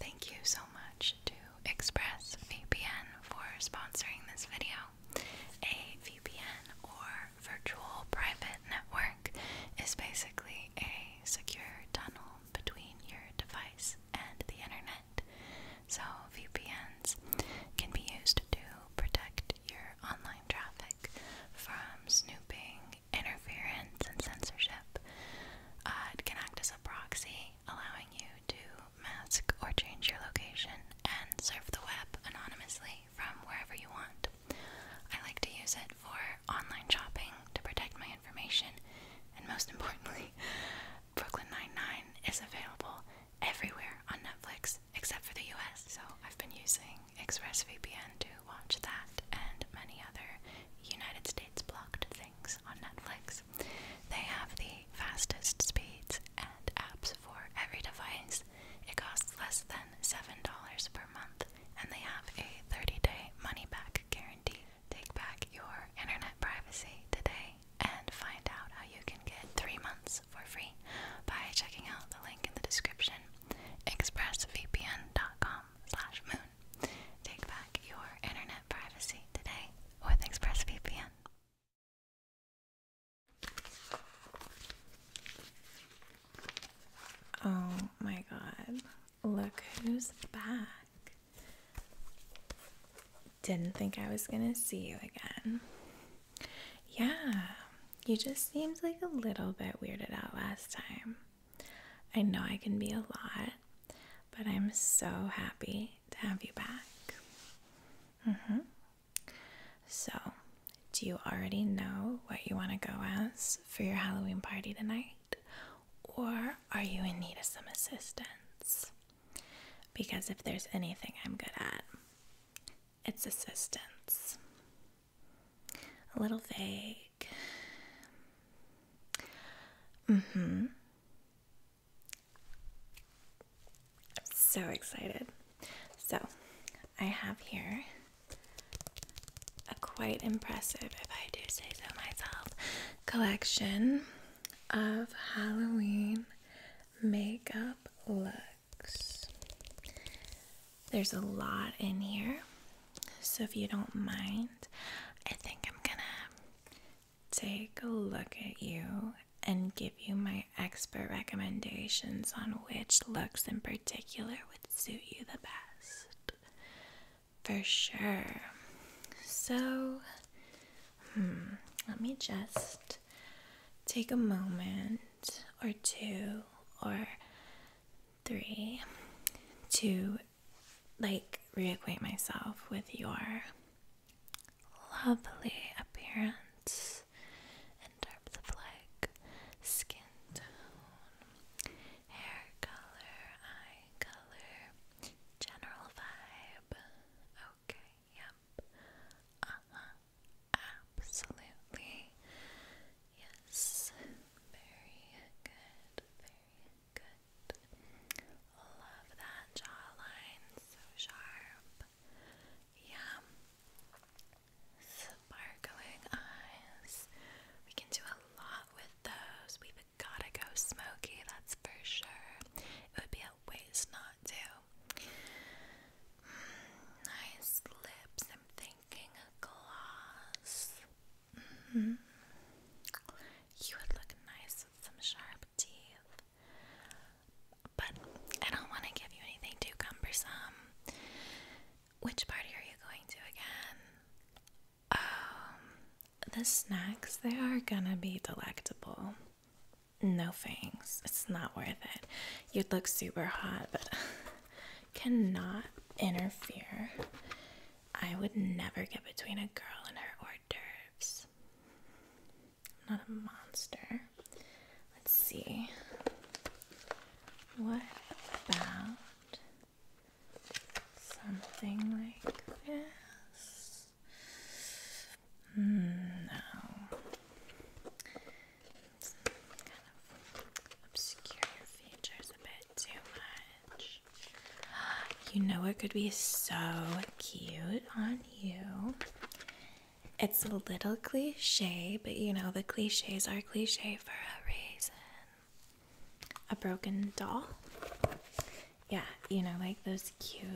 Thank you so much to ExpressVPN for sponsoring this video. A VPN or virtual private network is basically a secure tunnel between your device and the internet. So, VPNs can be used to protect your online traffic from snooping, interference, and censorship. Uh, it can act as a proxy allowing you to mask or change your location and surf the web anonymously from wherever you want. I like to use it for online shopping to protect my information, and most importantly, Brooklyn Nine-Nine is available everywhere on Netflix except for the US, so I've been using ExpressVPN to watch that and many other United States blocked things on Netflix. They have the fastest speeds and apps for every device. It costs less than $7 per month, and they have a 30 day money back guarantee. Take back your internet privacy today and find out how you can get three months for free by checking out the link in the description expressvpn.com slash moon Take back your internet privacy today with ExpressVPN. Oh my god. Look who's back. Didn't think I was gonna see you again. Yeah, you just seemed like a little bit weirded out last time. I know I can be a lot, but I'm so happy to have you back. Mm-hmm. So, do you already know what you want to go as for your Halloween party tonight? Or are you in need of some assistance? Because if there's anything I'm good at, it's assistance. A little vague. hmm. I'm so excited. So, I have here a quite impressive, if I do say so myself, collection of Halloween makeup looks. There's a lot in here, so if you don't mind, I think I'm gonna take a look at you and give you my expert recommendations on which looks in particular would suit you the best. For sure. So, hmm, let me just take a moment or two or three two like reacquaint myself with your lovely appearance in terms of skin tone, hair color, eye color, general vibe. Okay, yep. Uh-huh. Absolutely. Yes. Very good. Very Good. Love that jawline, so sharp. Yeah. Sparkling eyes. We can do a lot with those. We've gotta go smoky, that's for sure. It would be a waste not to. Mm, nice lips. I'm thinking a gloss. Mm-hmm. You would look nice with some sharp teeth. But I don't want to give you anything too cumbersome. Which party are you going to again? Um, the snacks, they are gonna be delectable. No thanks. It's not worth it. You'd look super hot, but cannot interfere I would never get between a girl and her hors d'oeuvres. I'm not a monster. Let's see. What about something like this? Hmm, no. It's kind of obscure your features a bit too much. You know it could be so cute on you? It's a little cliche, but you know, the cliches are cliche for a reason. A broken doll? Yeah, you know, like those cute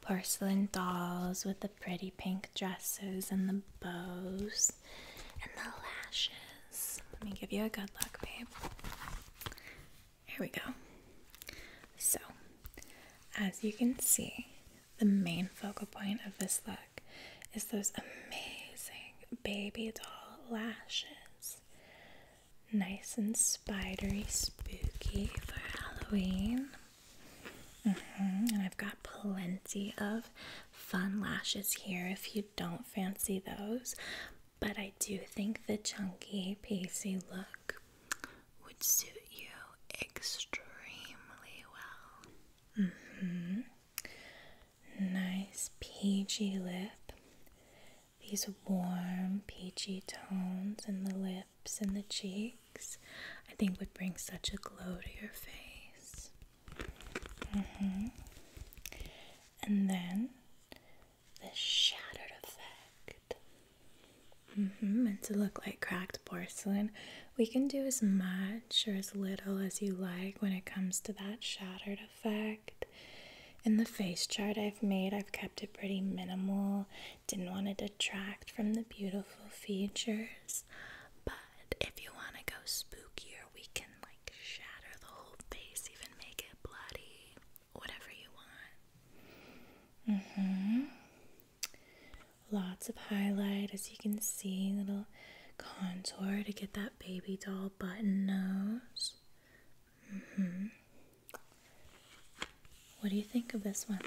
porcelain dolls with the pretty pink dresses and the bows and the lashes. Let me give you a good luck, babe. Here we go. So, as you can see, the main focal point of this look is those amazing baby doll lashes. Nice and spidery, spooky for Halloween. Mm-hmm. And I've got plenty of fun lashes here if you don't fancy those but I do think the chunky, peachy look would suit you extremely well. hmm. Nice peachy lip. These warm, peachy tones in the lips and the cheeks, I think, would bring such a glow to your face. hmm. And then the shadowed effect it. Mm hmm, meant to look like cracked porcelain. We can do as much or as little as you like when it comes to that shattered effect. In the face chart I've made, I've kept it pretty minimal. Didn't want to detract from the beautiful features. But if you want to go spookier, we can like shatter the whole face, even make it bloody whatever you want. Mm-hmm. Lots of highlight, as you can see, little contour to get that baby doll button nose. Mm-hmm. What do you think of this one?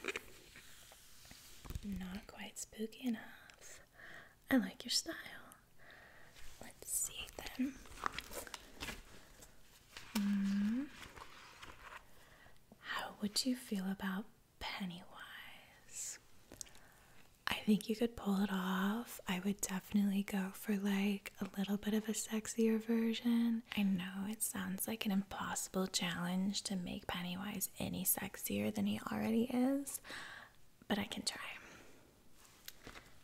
Not quite spooky enough. I like your style. Let's see then. Mm-hmm. How would you feel about Pennywise? I think you could pull it off. I would definitely go for like a little bit of a sexier version. I know it sounds like an impossible challenge to make Pennywise any sexier than he already is, but I can try.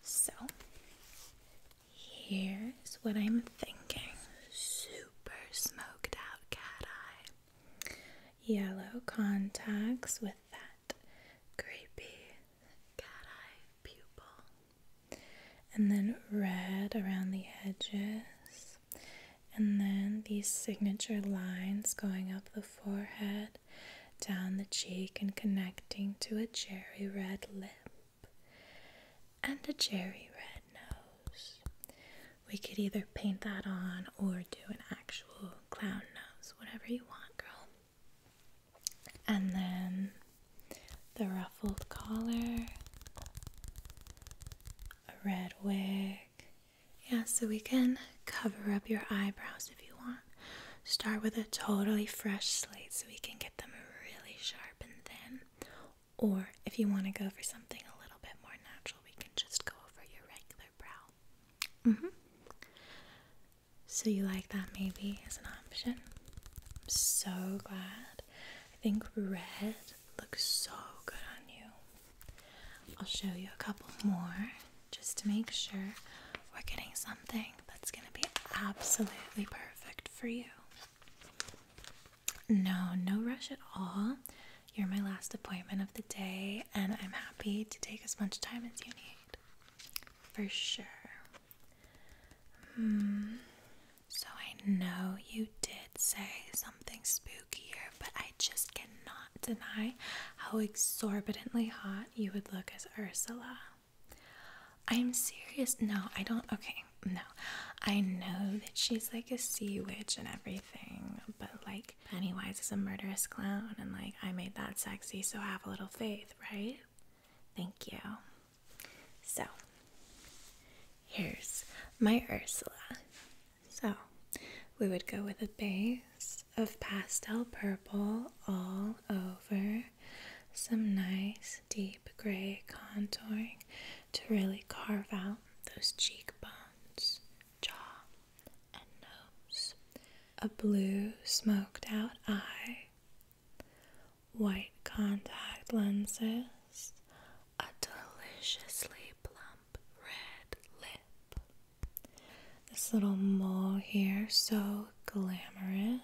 So, Here's what I'm thinking super smoked out cat eye, yellow contacts with that creepy cat eye pupil, and then red around the edges, and then these signature lines going up the forehead, down the cheek, and connecting to a cherry red lip and a cherry red nose. We could either paint that on or do an actual clown nose, whatever you want, girl. And then the ruffled collar, a red wig. Yeah, so we can cover up your eyebrows if you want. Start with a totally fresh slate so we can get them really sharp and thin. Or if you want to go for something a little bit more natural, we can just go over your regular brow. Mm-hmm. So you like that maybe as an option? I'm so glad. I think red looks so good on you. I'll show you a couple more just to make sure we're getting something that's going to be absolutely perfect for you. No, no rush at all. You're my last appointment of the day, and I'm happy to take as much time as you need. For sure. Hmm. So I know you did say something spookier, but I just cannot deny how exorbitantly hot you would look as Ursula. I'm serious. No, I don't. Okay, no. I know that she's like a sea witch and everything, but like Pennywise is a murderous clown, and like I made that sexy, so have a little faith, right? Thank you. So, here's my Ursula. So, we would go with a base of pastel purple all over some nice deep gray contouring to really carve out those cheekbones, jaw, and nose. A blue smoked out eye, white contact lenses, a deliciously plump red lip. This little mole here, so glamorous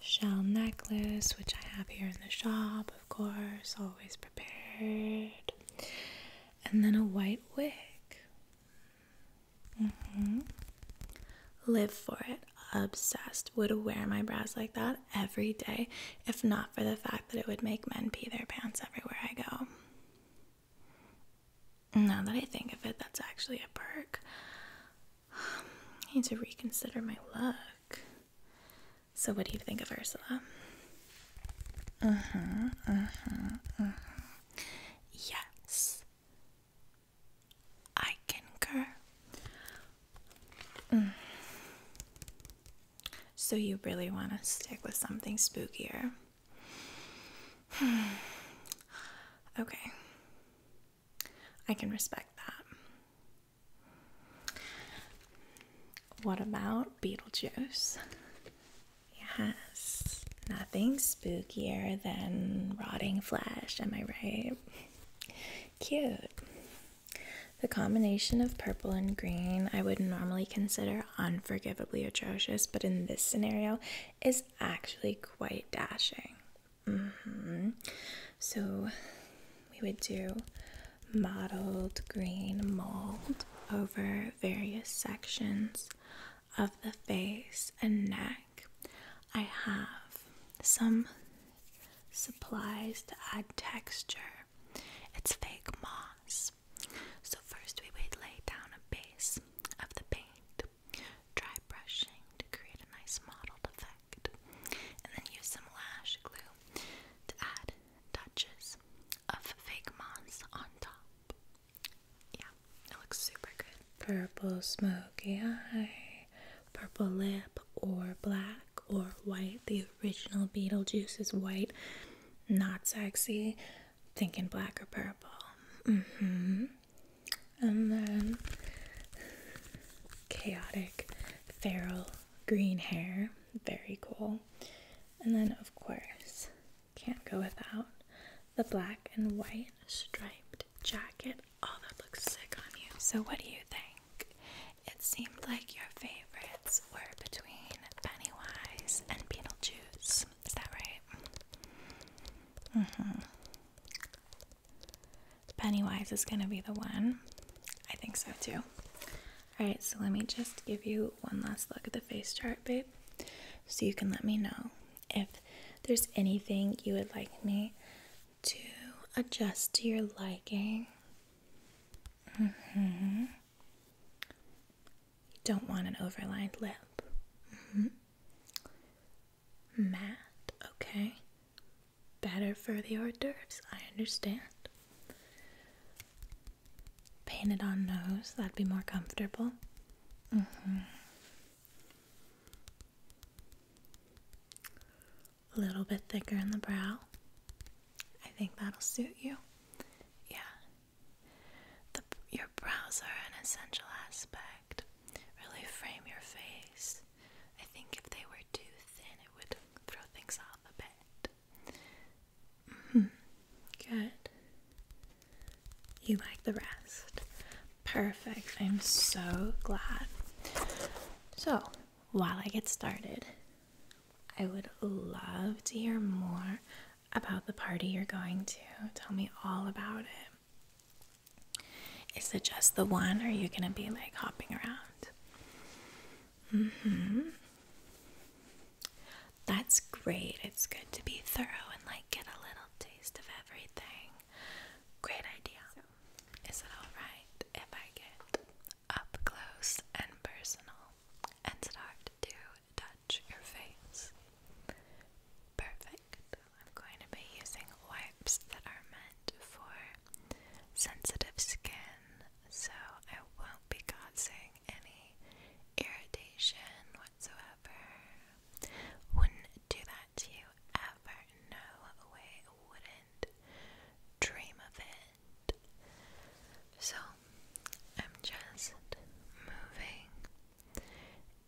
shell necklace, which I have here in the shop, of course, always prepared. And then a white wig. Mm-hmm. Live for it. Obsessed. Would wear my bras like that every day if not for the fact that it would make men pee their pants everywhere I go. Now that I think of it, that's actually a perk. I need to reconsider my look. So, what do you think of Ursula? Uh huh, uh huh, uh-huh. Yes. I concur. Mm. So, you really want to stick with something spookier? okay. I can respect that. What about Beetlejuice? Yes, nothing spookier than rotting flesh, am I right? Cute. The combination of purple and green I would normally consider unforgivably atrocious, but in this scenario is actually quite dashing. Mm -hmm. So we would do mottled green mold over various sections of the face and neck. I have some supplies to add texture. It's fake moss. So, first we would lay down a base of the paint, dry brushing to create a nice mottled effect. And then use some lash glue to add touches of fake moss on top. Yeah, it looks super good. Purple smoky eye, purple lip, or black or white. The original Beetlejuice is white, not sexy. Thinking black or purple. Mm hmm. And then chaotic feral green hair. Very cool. And then, of course, can't go without the black and white striped jacket. Oh, that looks sick on you. So, what do you think? It seemed like your favorites were between Pennywise and Beetlejuice. Is that right? Mm-hmm. Pennywise is going to be the one. I think so too. Alright, so let me just give you one last look at the face chart, babe, so you can let me know if there's anything you would like me to adjust to your liking. Mm hmm. don't want an overlined lip. Mm hmm. Matte, okay. Better for the hors d'oeuvres, I understand. Painted on nose, that'd be more comfortable. Mm-hmm. A little bit thicker in the brow. I think that'll suit you. Yeah. The, your brows are an essential aspect. Really frame your face. I think if they were too thin, it would throw things off a bit. Mm-hmm. Good. You like the rest. Perfect. I'm so glad. So, while I get started, I would love to hear more about the party you're going to. Tell me all about it. Is it just the one, or are you going to be like hopping around? Mm-hmm. That's great. It's good to be thorough and like get a little taste of everything. Great idea. is it alright if I get up close and personal and start to touch your face? Perfect. I'm going to be using wipes that are meant for sensitive skin, so I won't be causing any irritation whatsoever. Wouldn't do that to you ever. No way, wouldn't dream of it. So I'm just moving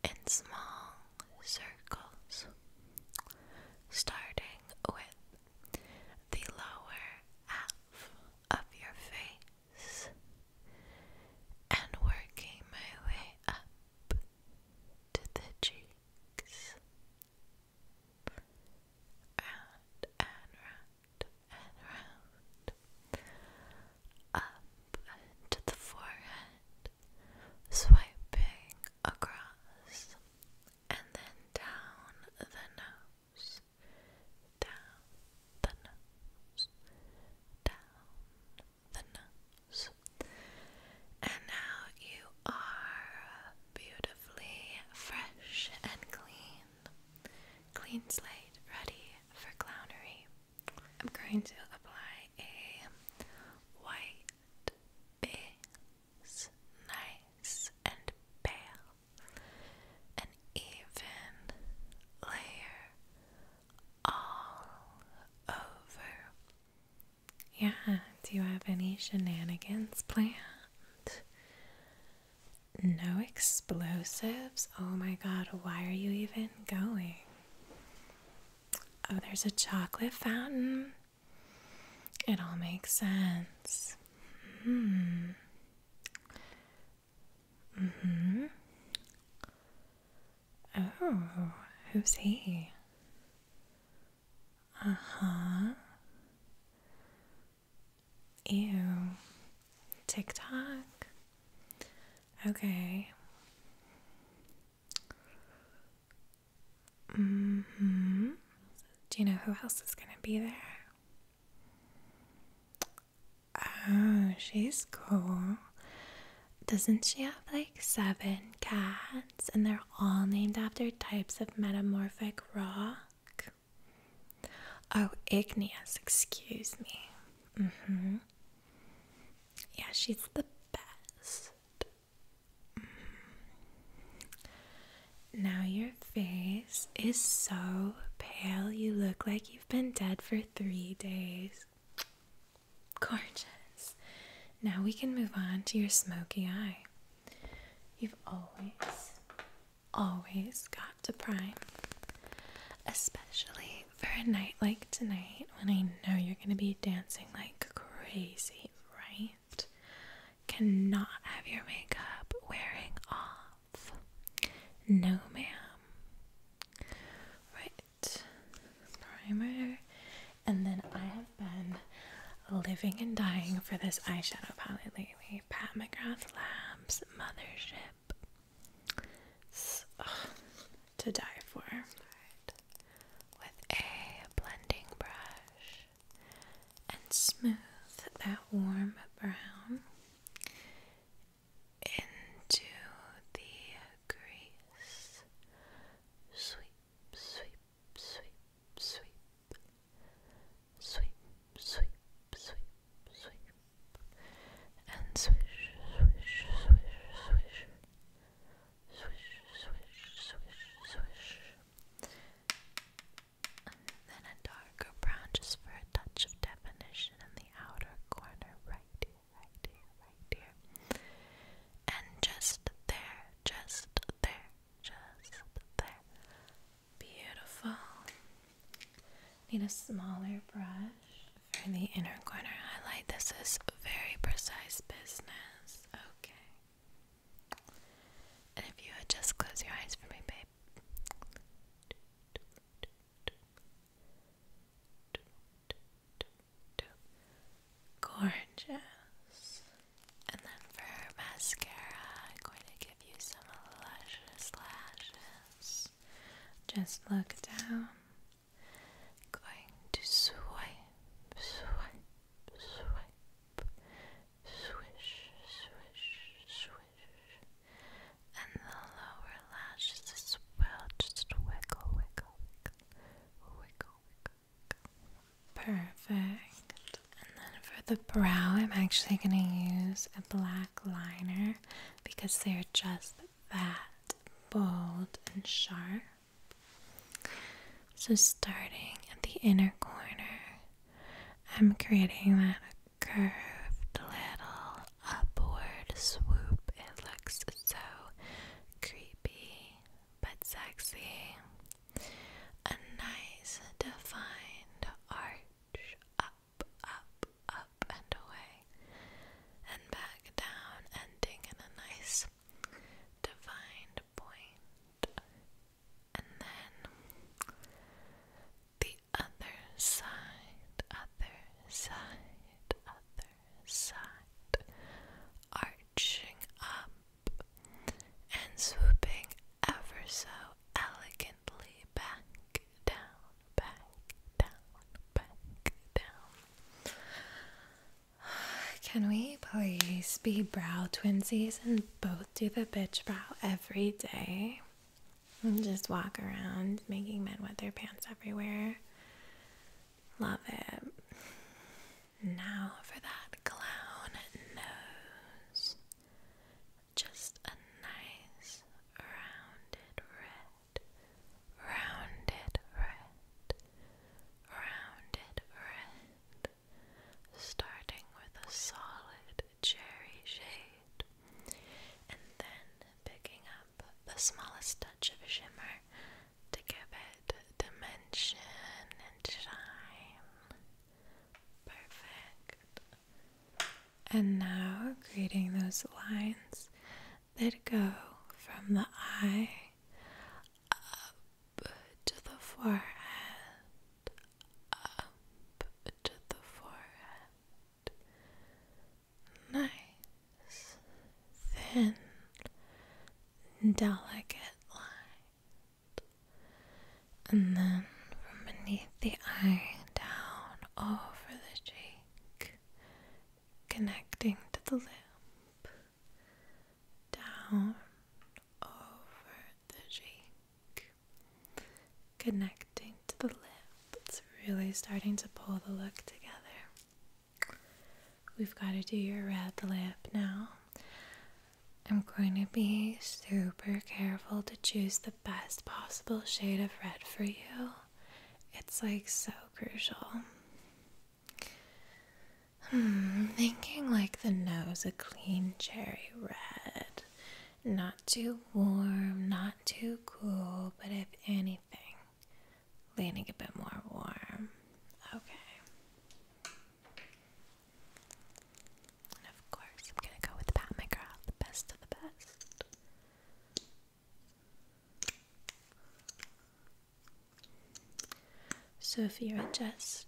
in small circles, starting with the lower half of your face and working my way up to the cheeks. and round and round. Up to the forehead, swiping across and then down the nose, down the nose, down the nose. And now you are beautifully fresh and clean. Clean slate, ready for clownery. I'm going to apply a white face nice and pale, an even layer all over. Yeah, do you have any shenanigans planned? No explosives? Oh my god, why are you even going? Oh, there's a chocolate fountain. It all makes sense. Mm hmm. Mm-hmm. Oh, who's he? Uh huh. Ew. TikTok. Okay. Mm-hmm. Do you know who else is going to be there? Oh, she's cool. Doesn't she have like seven cats and they're all named after types of metamorphic rock? Oh, igneous, excuse me. Mm hmm. Yeah, she's the best. Now your face is so pale, you look like you've been dead for three days. Gorgeous. Now we can move on to your smoky eye. You've always, always got to prime. Especially for a night like tonight when I know you're going to be dancing like crazy, right? cannot have your makeup wearing off. No, ma'am. Right, primer. And then I have been living and dying for this eyeshadow palette lately. Pat McGrath Labs Mothership. It's, to die for. With a blending brush and smooth that warm brown into the grease. Sweep, sweep, sweep, sweep. Sweep, sweep, sweep, sweep. And swish, swish, swish, swish. Swish, swish, swish, swish then a darker brown just for a touch of definition in the outer corner right here, right here, right here. And just there, just there, just there. Beautiful. Need a smaller brush for the inner corner highlight. This is very precise business. Okay. And if you just close your eyes for me, babe. Gorgeous. And then for mascara, going to give you some luscious lashes. Just look down. Going to swipe, swipe, swipe, Swish, swish, swish. And the lower lashes as well. Just wiggle, wiggle, wiggle. Wiggle, Perfect. And then for the brow, I'm actually going to use a black liner because they're just that bold and sharp. So, starting at the inner corner, I'm creating that curved little upward swoop. It looks so creepy but sexy. A nice defined arch up, up, up, and away, and back down, ending in a nice defined point and then the other side, other side, other side, arching up and swooping ever so elegantly back down, back down, back down. Can we please be brow twinsies in both do the bitch brow every day and just walk around making men wet their pants everywhere. Love it. Now for that clown nose. Just a nice rounded red, rounded red, rounded red starting with a solid cherry shade and then picking up the smallest touch of shimmer to give it dimension and shine. Perfect. And now creating those lines that go from the eye up to the forehead, up to the forehead. Nice, thin, delicate line, And then from beneath the eye down over the cheek, connecting to the lip, down over the cheek, connecting to the lip. It's really starting to pull the look together. We've got to do your red lip now. I'm going to be super careful to choose the best possible shade of red for you. It's like so crucial. Hmm, thinking like the nose, a clean cherry red. Not too warm, not too cool, but if anything, leaning a bit more warm. Okay. And of course, I'm gonna go with Pat McGrath, the best of the best. So if you're just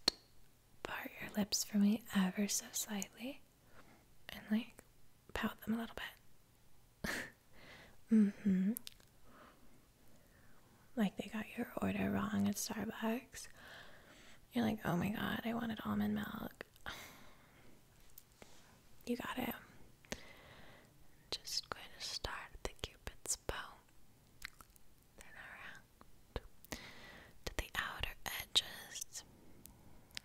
part your lips for me ever so slightly and like pout them a little bit. mm hmm. Like they got your order wrong at Starbucks. You're like, oh my god, I wanted almond milk. You got it. Just going to start the cupid's bow, then around to the outer edges,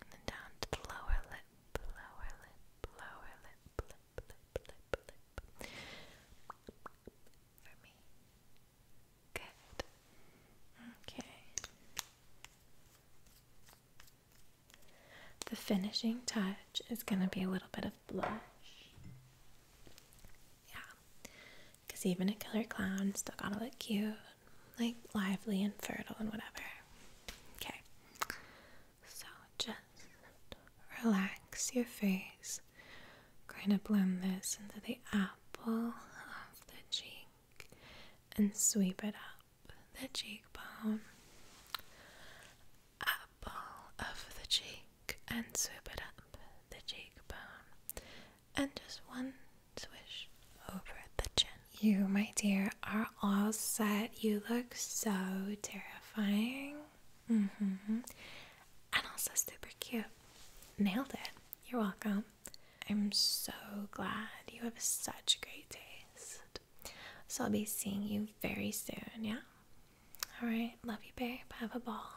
and then down to the lower lip, lower lip, lower lip, For me. Good. Okay. The finishing touch is going to be a little bit of blush. Yeah. Because even a killer clown still gotta look cute, like lively and fertile and whatever. Okay. So just relax your face. Kind of blend this into the apple of the cheek and sweep it up the cheekbone. Apple of the cheek and sweep it up the cheekbone and just one swish over the chin. You, my dear, are all set. You look so terrifying. hmm. And also super cute. Nailed it. You're welcome. I'm so glad you have such great taste. So I'll be seeing you very soon, yeah? Alright, love you, babe. Have a ball.